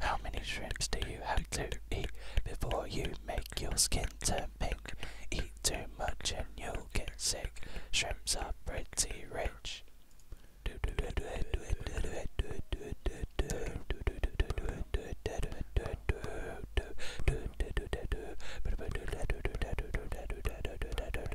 How many shrimps do you have to eat before you make your skin turn pink? Eat too much and you'll get sick. Shrimps are pretty rich.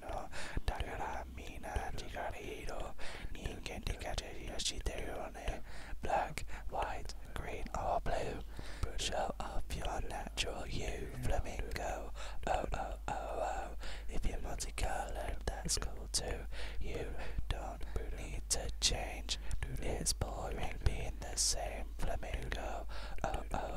No, can't a のだからみんな光色人間的価値を知ってるよね Black, white, green or blue Show off your natural hue. Flamingo, oh oh oh oh If you're multicolored that's cool too You don't need to change It's boring being the same Flamingo, oh oh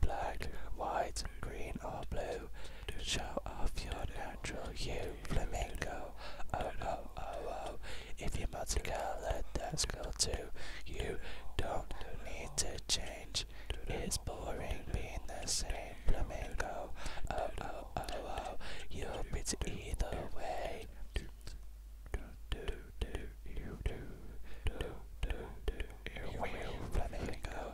Black, white, green or blue, to show off your natural hue, flamingo. Oh, oh, oh, oh. If you must go, let us go too. You don't need to change. It's boring being the same flamingo. Oh, oh, oh, oh. You'll be either way. Flamingo.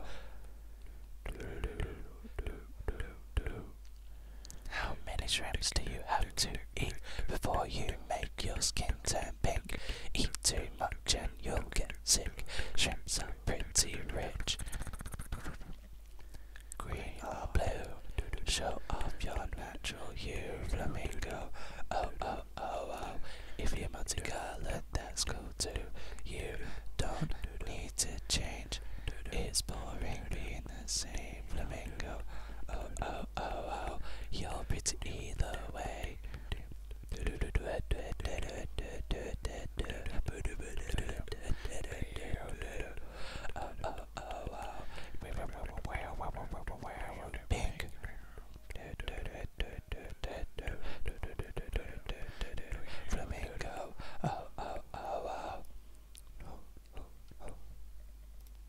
How many shrimps do you have to eat before you make your skin turn pink. Eat too much and you'll get sick. Shrimps are pretty rich. Green or blue, show off your natural hue, flamingo. Oh, oh, oh, oh. If you're multicolored, that's cool too. You don't need to change. It's boring being the same flamingo. Oh, oh, oh, oh. You're pretty either way. Flamingo. Oh, oh, oh, oh.